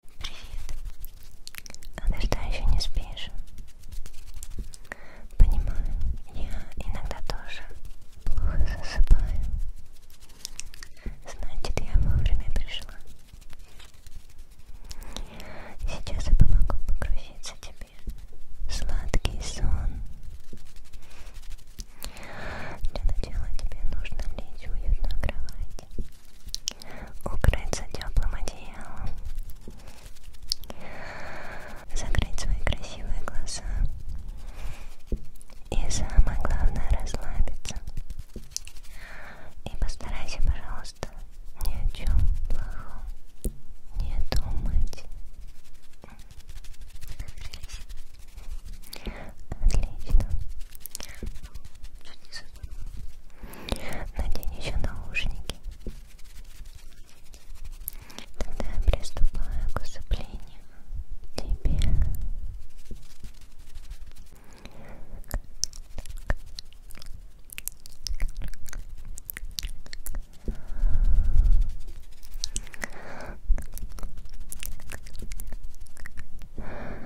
Привет. А ты что, еще не спишь? Понимаю, я иногда тоже плохо засыпаю. Значит, я вовремя пришла. Сейчас я помогу погрузиться тебе. Сладкий сон. Для начала тебе нужно лечь уютно в кровать укрыться теплым одеялом, закрыть свои красивые глаза и самое главное расслабиться. И постарайся, пожалуйста, ни о чем плохом не думать. Отлично. Чуть не Надень еще наушники. Тогда я приступаю к усыплению тебя. Так.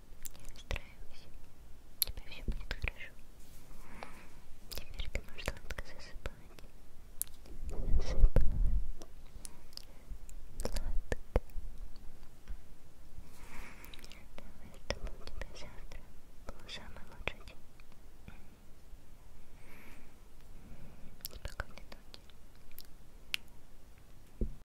Не расстраивайся. У тебя все будет хорошо. Теперь ты можешь сладко засыпать. Засыпай. Сладко. Давай, чтобы у тебя завтра был самый лучший день. Спокойной ночи.